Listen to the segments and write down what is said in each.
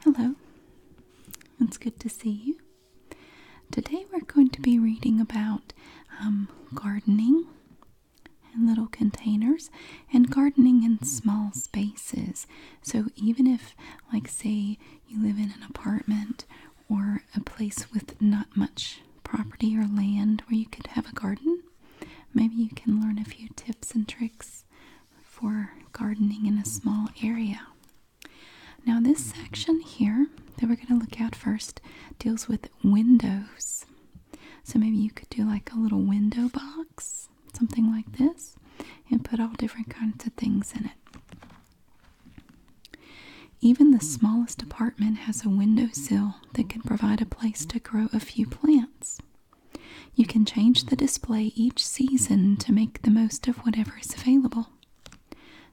Hello, it's good to see you. Today we're going to be reading about um, gardening in little containers and gardening in small spaces. So, even if, like, say, you live in an apartment or a place with not much property or land where you could have a garden, maybe you can learn a few tips and tricks for gardening in a small area. Now, this section here that we're going to look at first deals with windows. So maybe you could do like a little window box, something like this, and put all different kinds of things in it. Even the smallest apartment has a windowsill that can provide a place to grow a few plants. You can change the display each season to make the most of whatever is available.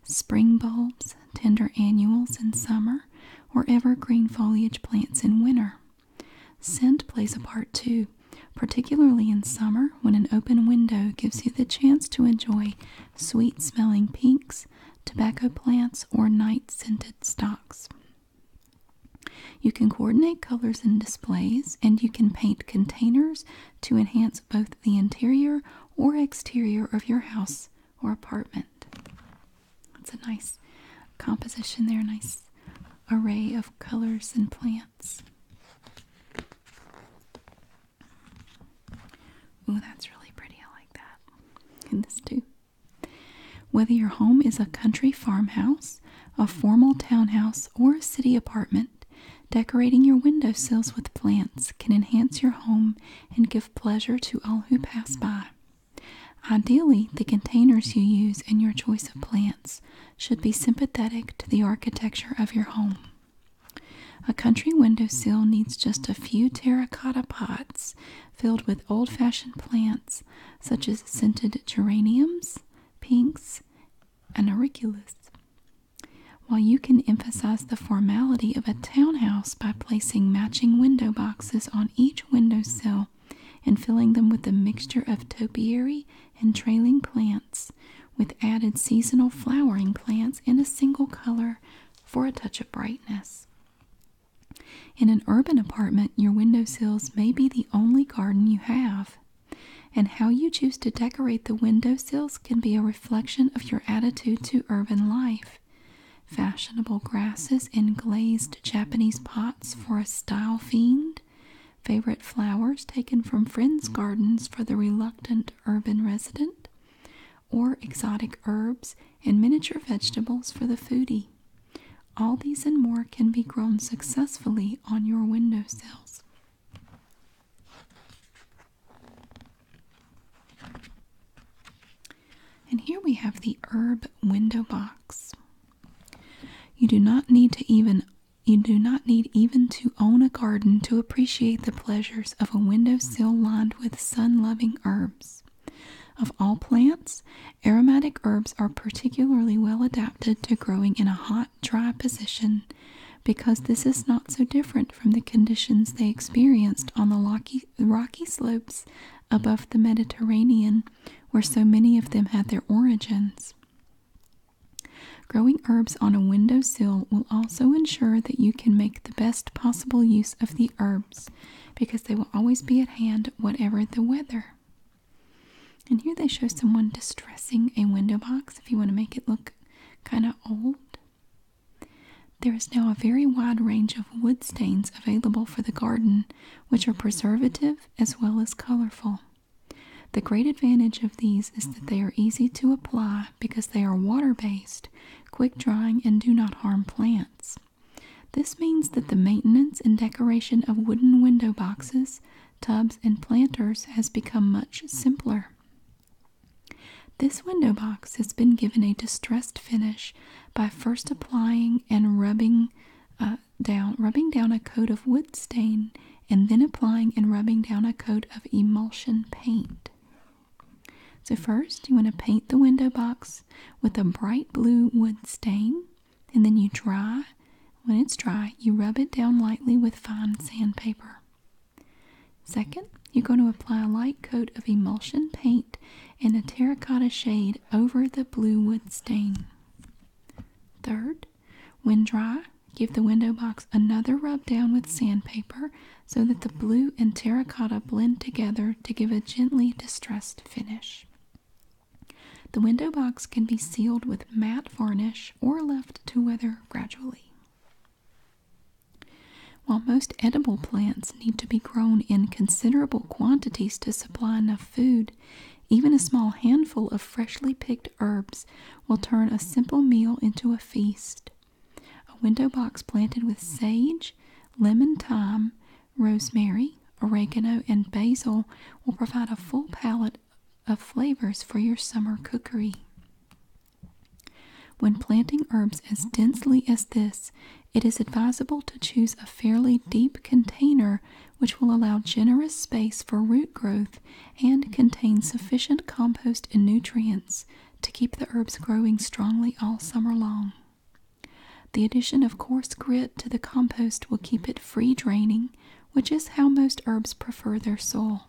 Spring bulbs, tender annuals in summer, or evergreen foliage plants in winter. Scent plays a part too, particularly in summer when an open window gives you the chance to enjoy sweet smelling pinks, tobacco plants, or night scented stocks. You can coordinate colors in displays, and you can paint containers to enhance both the interior or exterior of your house or apartment. It's a nice composition there, nice array of colors and plants. Oh, that's really pretty. I like that. And this too. Whether your home is a country farmhouse, a formal townhouse, or a city apartment, decorating your window sills with plants can enhance your home and give pleasure to all who pass by. Ideally, the containers you use and your choice of plants should be sympathetic to the architecture of your home. A country window sill needs just a few terracotta pots filled with old fashioned plants such as scented geraniums, pinks, an auriculus. While you can emphasize the formality of a townhouse by placing matching window boxes on each window sill, and filling them with a mixture of topiary and trailing plants, with added seasonal flowering plants in a single color for a touch of brightness. In an urban apartment, your window sills may be the only garden you have, and how you choose to decorate the window sills can be a reflection of your attitude to urban life. Fashionable grasses in glazed Japanese pots for a style fiend, favorite flowers taken from friends' gardens for the reluctant urban resident, or exotic herbs and miniature vegetables for the foodie. All these and more can be grown successfully on your window sills. And here we have the herb window box. You do not need to even you do not need even to own a garden to appreciate the pleasures of a windowsill lined with sun-loving herbs. Of all plants, aromatic herbs are particularly well adapted to growing in a hot dry position because this is not so different from the conditions they experienced on the rocky, rocky slopes above the Mediterranean, where so many of them had their origins. Growing herbs on a windowsill will also ensure that you can make the best possible use of the herbs because they will always be at hand, whatever the weather. And here they show someone distressing a window box if you want to make it look kind of old. There is now a very wide range of wood stains available for the garden, which are preservative as well as colorful. The great advantage of these is that they are easy to apply because they are water based, quick drying, and do not harm plants. This means that the maintenance and decoration of wooden window boxes tubs, and planters has become much simpler. This window box has been given a distressed finish by first applying and rubbing uh, down a coat of wood stain and then applying and rubbing down a coat of emulsion paint. So first you want to paint the window box with a bright blue wood stain and then you dry when it's dry, you rub it down lightly with fine sandpaper. Second, you're going to apply a light coat of emulsion paint in a terracotta shade over the blue wood stain. Third, when dry, give the window box another rub down with sandpaper so that the blue and terracotta blend together to give a gently distressed finish. The window box can be sealed with matte varnish or left to weather gradually. While most edible plants need to be grown in considerable quantities to supply enough food, even a small handful of freshly picked herbs will turn a simple meal into a feast. A window box planted with sage, lemon thyme, rosemary, oregano, and basil will provide a full palette of flavors for your summer cookery. When planting herbs as densely as this, it is advisable to choose a fairly deep container which will allow generous space for root growth and contain sufficient compost and nutrients to keep the herbs growing strongly all summer long. The addition of coarse grit to the compost will keep it free draining which is how most herbs prefer their soil.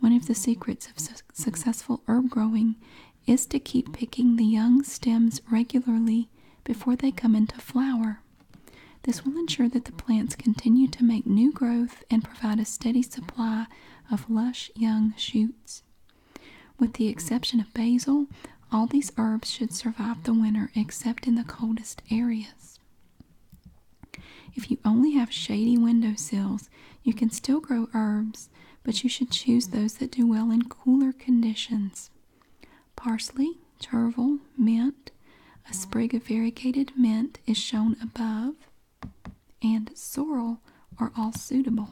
One of the secrets of successful herb growing is to keep picking the young stems regularly before they come into flower. This will ensure that the plants continue to make new growth and provide a steady supply of lush young shoots. With the exception of basil, all these herbs should survive the winter except in the coldest areas. If you only have shady window sills, you can still grow herbs, but you should choose those that do well in cooler conditions. Parsley, chervil, mint, a sprig of variegated mint is shown above, and sorrel are all suitable.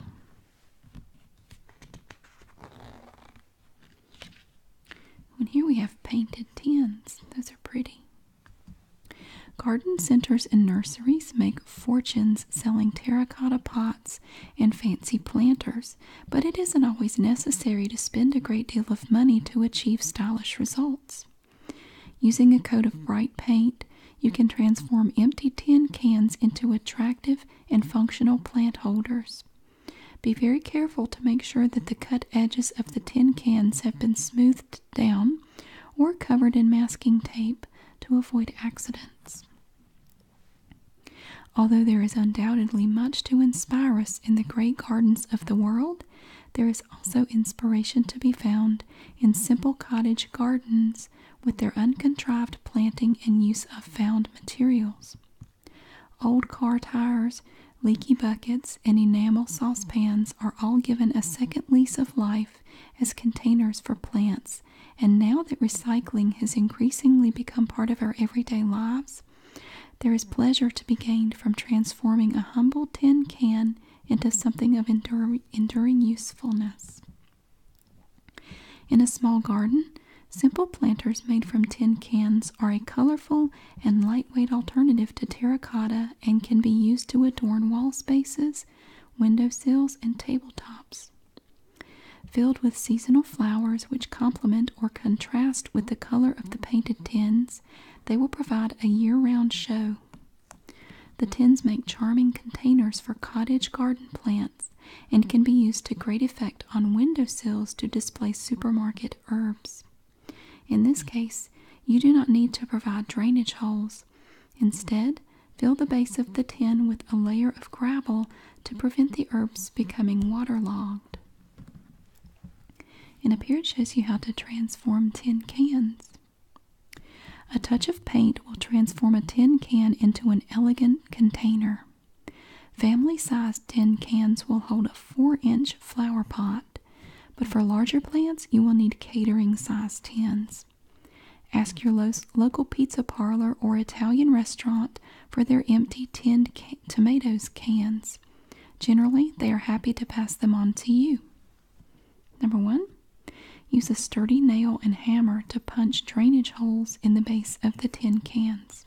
And here we have painted tins. Those are pretty. Garden centers and nurseries make fortunes selling terracotta pots and fancy planters, but it isn't always necessary to spend a great deal of money to achieve stylish results. Using a coat of bright paint, you can transform empty tin cans into attractive and functional plant holders. Be very careful to make sure that the cut edges the tin cans have been smoothed down or covered in masking tape to avoid accidents. Although there is undoubtedly much to inspire us in the great gardens of the world, there is also inspiration to be found in simple cottage gardens with their uncontrived planting and use of found materials. Old car tires Leaky buckets and enamel saucepans are all given a second lease of life as containers for plants, and now that recycling has increasingly become part of our everyday lives, there is pleasure to be gained from transforming a humble tin can into something of enduring usefulness. In a small garden, simple planters made from tin cans are a colorful and lightweight alternative to terracotta and can be used to adorn wall spaces, window sills, and tabletops. Filled with seasonal flowers which complement or contrast with the color of the painted tins, they will provide a year round show. The tins make charming containers for cottage garden plants and can be used to great effect on window sills to display supermarket herbs. In this case, you do not need to provide drainage holes. Instead, fill the base of the tin with a layer of gravel to prevent the herbs becoming waterlogged. And up here it shows you how to transform tin cans. A touch of paint will transform a tin can into an elegant container. Family sized tin cans will hold a 4 inch flower pot but for larger plants, you will need catering size tins. Ask your local pizza parlor or Italian restaurant for their empty tinned tomatoes cans. Generally, they are happy to pass them on to you. Number one, use a sturdy nail and hammer to punch drainage holes in the base of the tin cans.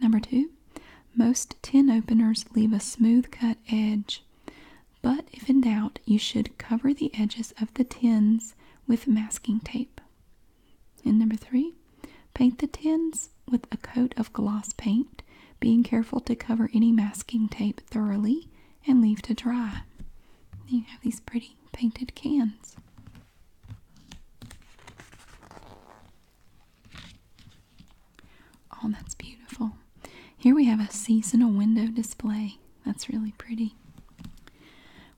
Number two, most tin openers leave a smooth cut edge, but if in doubt, you should cover the edges of the tins with masking tape. And number three, paint the tins with a coat of gloss paint, being careful to cover any masking tape thoroughly and leave to dry. You have these pretty painted cans. Oh, that's beautiful. Here we have a seasonal window display. That's really pretty.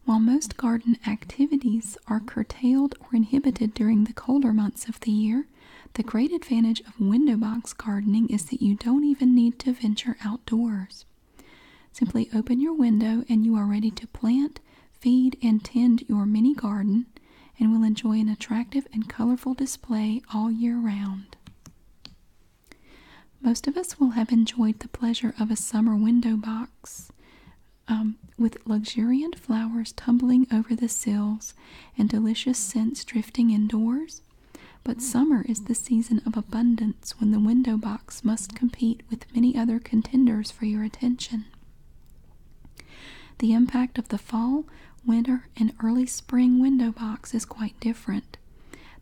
While most garden activities are curtailed or inhibited during the colder months of the year, the great advantage of window box gardening is that you don't even need to venture outdoors. Simply open your window and you are ready to plant, feed, and tend your mini garden and will enjoy an attractive and colorful display all year round. Most of us will have enjoyed the pleasure of a summer window box um, with luxuriant flowers tumbling over the sills and delicious scents drifting indoors. But summer is the season of abundance when the window box must compete with many other contenders for your attention. The impact of the fall Winter and early spring window box is quite different.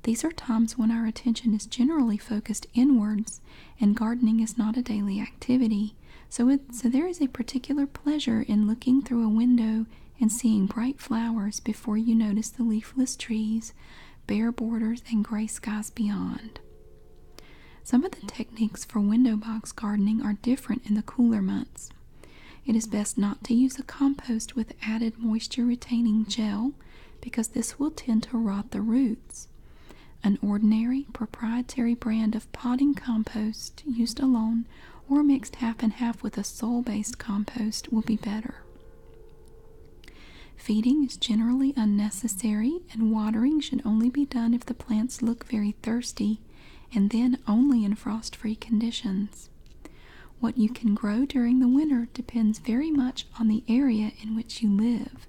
These are times when our attention is generally focused inwards and gardening is not a daily activity. So, so there is a particular pleasure in looking through a window and seeing bright flowers before you notice the leafless trees, bare borders, and gray skies beyond. Some of the techniques for window box gardening are different in the cooler months. It is best not to use a compost with added moisture retaining gel because this will tend to rot the roots. An ordinary proprietary brand of potting compost used alone or mixed half and half with a soil based compost will be better. Feeding is generally unnecessary, and watering should only be done if the plants look very thirsty, and then only in frost free conditions. What you can grow during the winter depends very much on the area in which you live.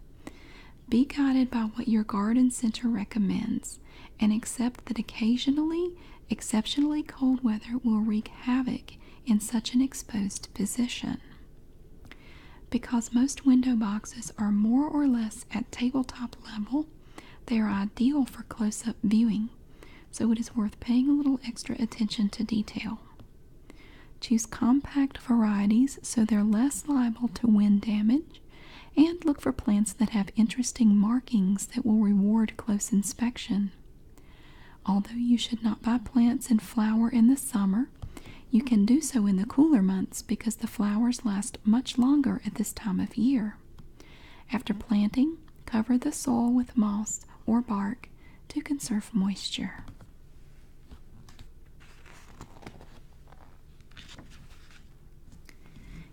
Be guided by what your garden center recommends and accept that occasionally exceptionally cold weather will wreak havoc in such an exposed position. Because most window boxes are more or less at tabletop level, they are ideal for close up viewing, so it is worth paying a little extra attention to detail. Choose compact varieties so they're less liable to wind damage, and look for plants that have interesting markings that will reward close inspection. Although you should not buy plants in flower in the summer, you can do so in the cooler months because the flowers last much longer at this time of year. After planting, cover the soil with moss or bark to conserve moisture.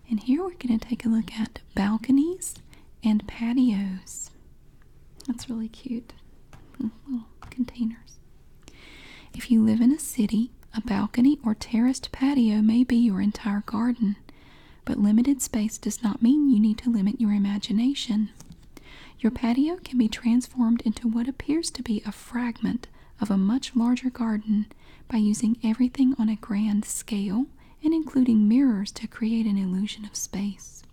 And here we're going to take a look at balconies and patios. That's really cute. Little containers. If you live in a city, a balcony or terraced patio may be your entire garden. But limited space does not mean you need to limit your imagination. Your patio can be transformed into what appears to be a fragment of a much larger garden by using everything on a grand scale and including mirrors to create an illusion of space.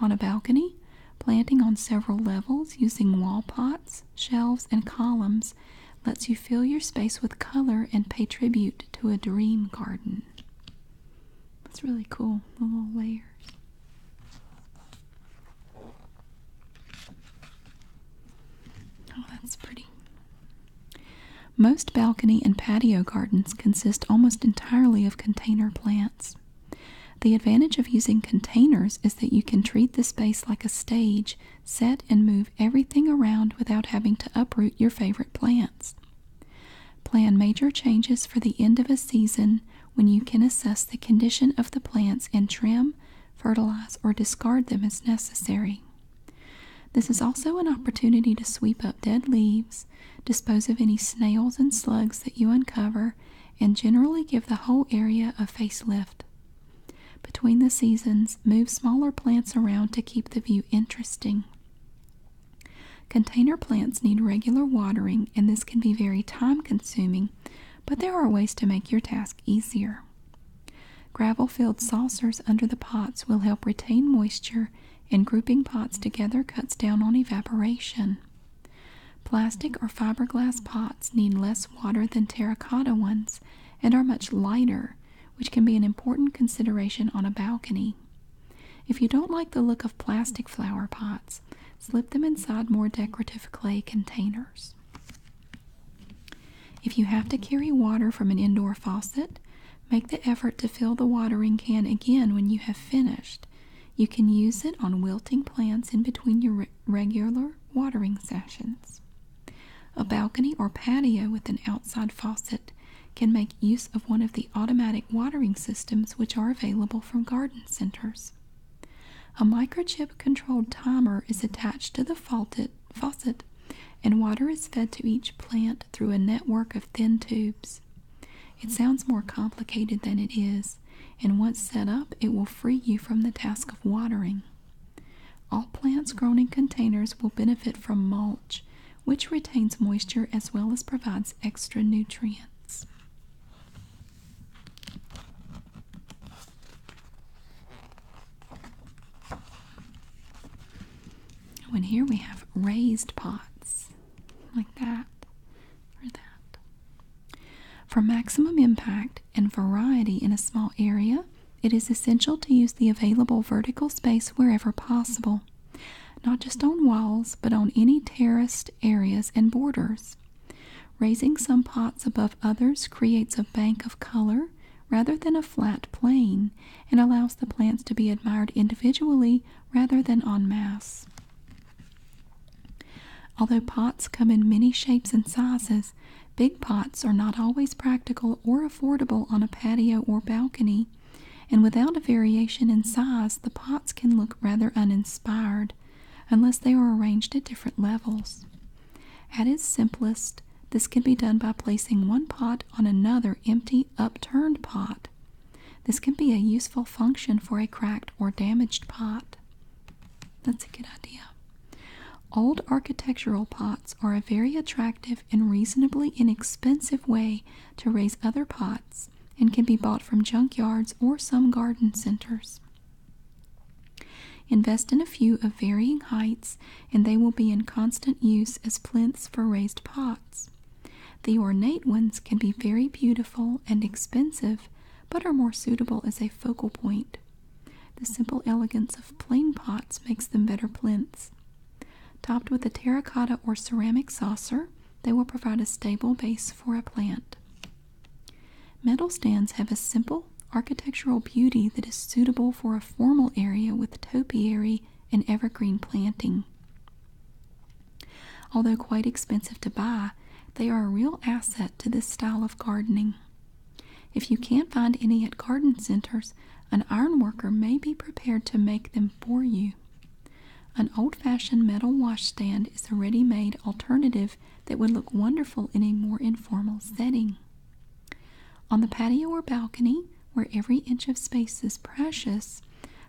On a balcony, planting on several levels using wall pots, shelves, and columns lets you fill your space with color and pay tribute to a dream garden. That's really cool, the little layers. Oh, that's pretty. Most balcony and patio gardens consist almost entirely of container plants. The advantage of using containers is that you can treat the space like a stage, set and move everything around without having to uproot your favorite plants. Plan major changes for the end of a season when you can assess the condition of the plants and trim, fertilize, or discard them as necessary. This is also an opportunity to sweep up dead leaves, dispose of any snails and slugs that you uncover, and generally give the whole area a facelift. Between the seasons, move smaller plants around to keep the view interesting. Container plants need regular watering, and this can be very time consuming, but there are ways to make your task easier. Gravel filled saucers under the pots will help retain moisture, and grouping pots together cuts down on evaporation. Plastic or fiberglass pots need less water than terracotta ones and are much lighter, which can be an important consideration on a balcony. If you don't like the look of plastic flower pots, slip them inside more decorative clay containers. If you have to carry water from an indoor faucet, make the effort to fill the watering can again when you have finished. You can use it on wilting plants in between your regular watering sessions. A balcony or patio with an outside faucet can make use of one of the automatic watering systems which are available from garden centers. A microchip controlled timer is attached to the faucet and water is fed to each plant through a network of thin tubes. It sounds more complicated than it is, and once set up, it will free you from the task of watering. All plants grown in containers will benefit from mulch which retains moisture as well as provides extra nutrients. When here we have raised pots like that or that. For maximum impact and variety in a small area, it is essential to use the available vertical space wherever possible not just on walls, but on any terraced areas and borders. Raising some pots above others creates a bank of color rather than a flat plane and allows the plants to be admired individually rather than en masse. Although pots come in many shapes and sizes, big pots are not always practical or affordable on a patio or balcony and without a variation in size, the pots can look rather uninspired unless they are arranged at different levels. At its simplest, this can be done by placing one pot on another empty, upturned pot. This can be a useful function for a cracked or damaged pot. That's a good idea. Old architectural pots are a very attractive in reasonably inexpensive way to raise other pots and can be bought from junkyards or some garden centers. Invest in a few of varying heights and they will be in constant use as plinths for raised pots. The ornate ones can be very beautiful and expensive, but are more suitable as a focal point. The simple elegance of plain pots makes them better plinths. Topped with a terracotta or ceramic saucer, they will provide a stable base for a plant. Metal stands have a simple architectural beauty that is suitable for a formal area with topiary and evergreen planting. Although quite expensive to buy, they are a real asset to this style of gardening. If you can't find any at garden centers, an ironworker may be prepared to make them for you. An old fashioned metal washstand is a ready made alternative that would look wonderful in a more informal setting. On the patio or balcony, where every inch of space is precious,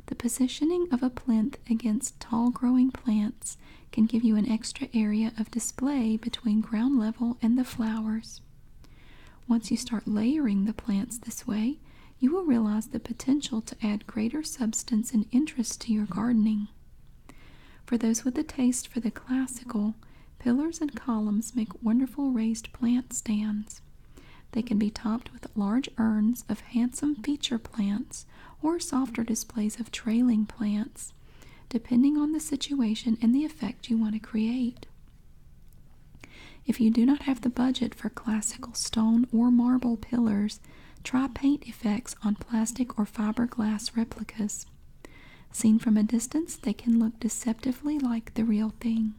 the positioning of a plinth against tall growing plants can give you an extra area of display between ground level and the flowers. Once you start layering the plants this way, you will realize the potential to add greater substance and interest to your gardening. For those with a taste for the classical, pillars and columns make wonderful raised plant stands. They can be topped with large urns of handsome feature plants or softer displays of trailing plants, depending on the situation and the effect you want to create. If you do not have the budget for classical stone or marble pillars, try paint effects on plastic or fiberglass replicas. Seen from a distance, they can look deceptively like the real thing.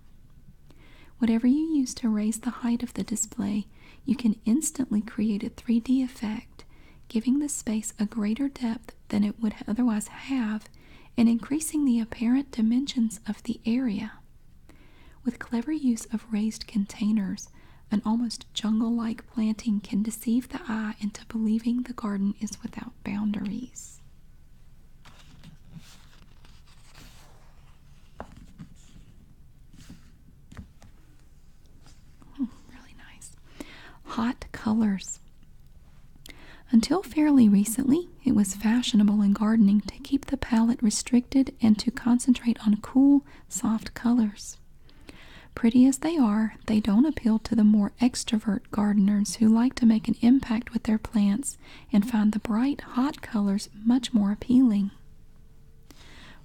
Whatever you use to raise the height of the display, you can instantly create a 3D effect, giving the space a greater depth than it would otherwise have and increasing the apparent dimensions of the area. With clever use of raised containers, an almost jungle like planting can deceive the eye into believing the garden is without boundaries. Hmm, really nice. Hot colors. Until fairly recently, it was fashionable in gardening to keep the palette restricted and to concentrate on cool, soft colors. Pretty as they are, they don't appeal to the more extrovert gardeners who like to make an impact with their plants and find the bright, hot colors much more appealing.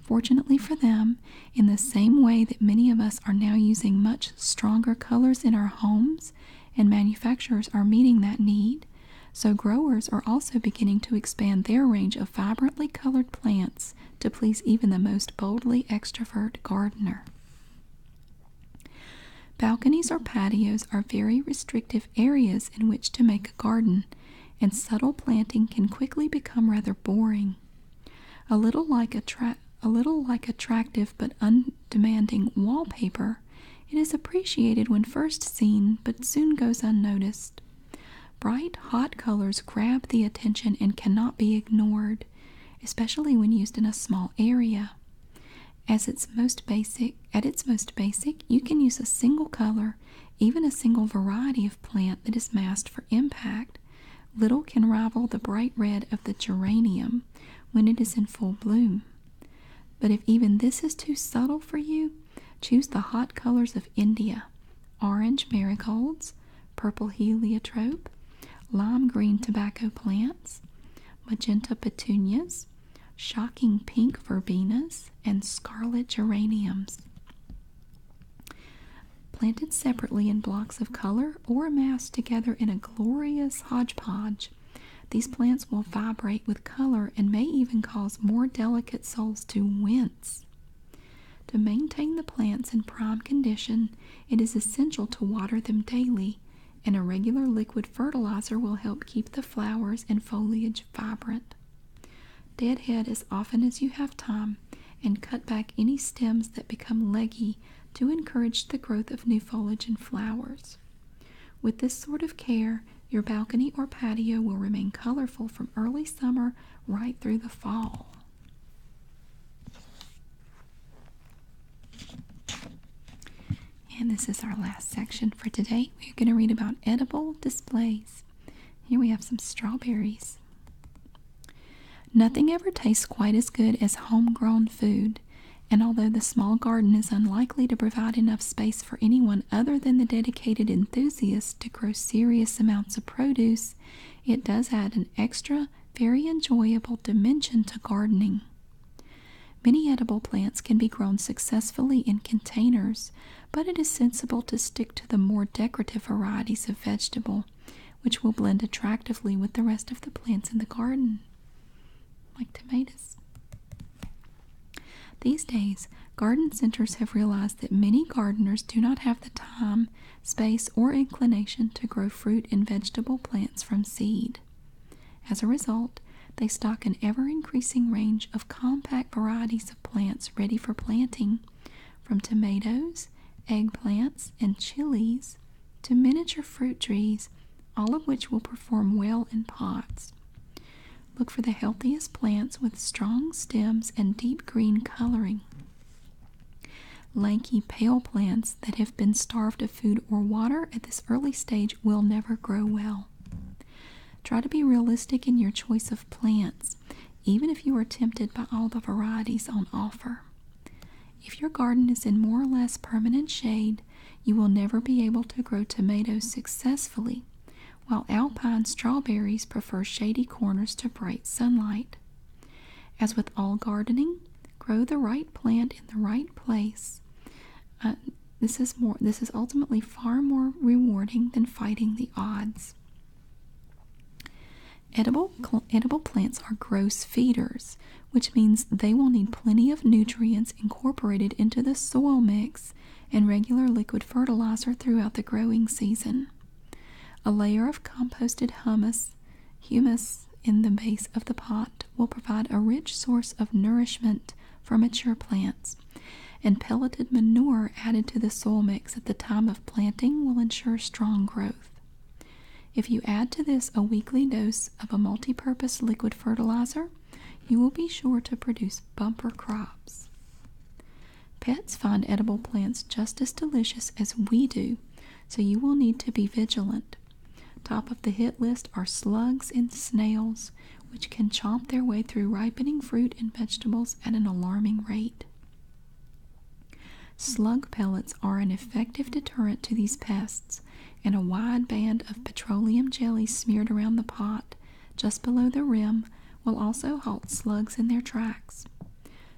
Fortunately for them, in the same way that many of us are now using much stronger colors in our homes, and manufacturers are meeting that need, so growers are also beginning to expand their range of vibrantly colored plants to please even the most boldly extrovert gardener. Balconies or patios are very restrictive areas in which to make a garden, and subtle planting can quickly become rather boring. A little like attra- a little like attractive but undemanding wallpaper, it is appreciated when first seen, but soon goes unnoticed. Bright, hot colors grab the attention and cannot be ignored, especially when used in a small area. at its most basic, you can use a single color, even a single variety of plant that is massed for impact. Little can rival the bright red of the geranium when it is in full bloom. But if even this is too subtle for you, choose the hot colors of India orange marigolds, purple heliotrope, lime green tobacco plants, magenta petunias, shocking pink verbenas, and scarlet geraniums. Planted separately in blocks of color or massed together in a glorious hodgepodge, these plants will vibrate with color and may even cause more delicate souls to wince. To maintain the plants in prime condition, it is essential to water them daily, and a regular liquid fertilizer will help keep the flowers and foliage vibrant. Deadhead as often as you have time and cut back any stems that become leggy to encourage the growth of new foliage and flowers. With this sort of care, your balcony or patio will remain colorful from early summer right through the fall. And this is our last section for today. We're going to read about edible displays. Here we have some strawberries. Nothing ever tastes quite as good as homegrown food, and although the small garden is unlikely to provide enough space for anyone other than the dedicated enthusiast to grow serious amounts of produce, it does add an extra, very enjoyable dimension to gardening. Many edible plants can be grown successfully in containers, but it is sensible to stick to the more decorative varieties of vegetable, which will blend attractively with the rest of the plants in the garden, like tomatoes. These days, garden centers have realized that many gardeners do not have the time, space, or inclination to grow fruit and vegetable plants from seed. As a result, they stock an ever increasing range of compact varieties of plants ready for planting, from tomatoes, eggplants, and chilies to miniature fruit trees, all of which will perform well in pots. Look for the healthiest plants with strong stems and deep green coloring. Lanky, pale plants that have been starved of food or water at this early stage will never grow well. Try to be realistic in your choice of plants, even if you are tempted by all the varieties on offer. If your garden is in more or less permanent shade, you will never be able to grow tomatoes successfully while alpine strawberries prefer shady corners to bright sunlight. As with all gardening, grow the right plant in the right place. Uh, this is more this is ultimately far more rewarding than fighting the odds. Edible, edible plants are gross feeders, which means they will need plenty of nutrients incorporated into the soil mix and regular liquid fertilizer throughout the growing season. A layer of composted humus, humus in the base of the pot will provide a rich source of nourishment for mature plants, and pelleted manure added to the soil mix at the time of planting will ensure strong growth. If you add to this a weekly dose of a multi purpose liquid fertilizer, you will be sure to produce bumper crops. Pets find edible plants just as delicious as we do, so you will need to be vigilant. Top of the hit list are slugs and snails, which can chomp their way through ripening fruit and vegetables at an alarming rate. Slug pellets are an effective deterrent to these pests, and a wide band of petroleum jelly smeared around the pot just below the rim will also halt slugs in their tracks.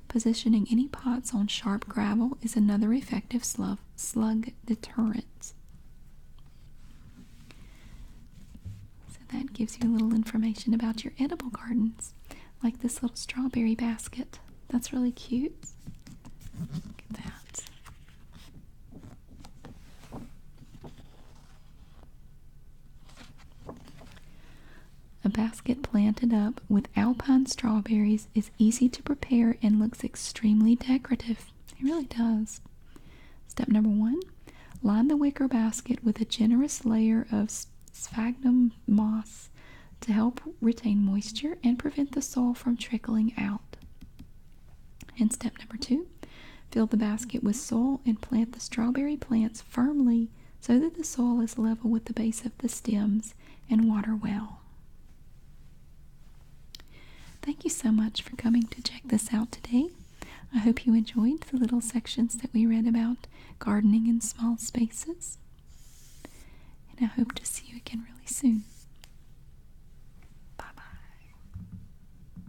Positioning any pots on sharp gravel is another effective slug, deterrent. So that gives you a little information about your edible gardens, like this little strawberry basket. That's really cute. Look at that. A basket planted up with alpine strawberries is easy to prepare and looks extremely decorative. It really does. Step number one line the wicker basket with a generous layer of sphagnum moss to help retain moisture and prevent the soil from trickling out. And step number two Fill the basket with soil and plant the strawberry plants firmly so that the soil is level with the base of the stems and water well. Thank you so much for coming to check this out today. I hope you enjoyed the little sections that we read about gardening in small spaces. And I hope to see you again really soon. Bye bye.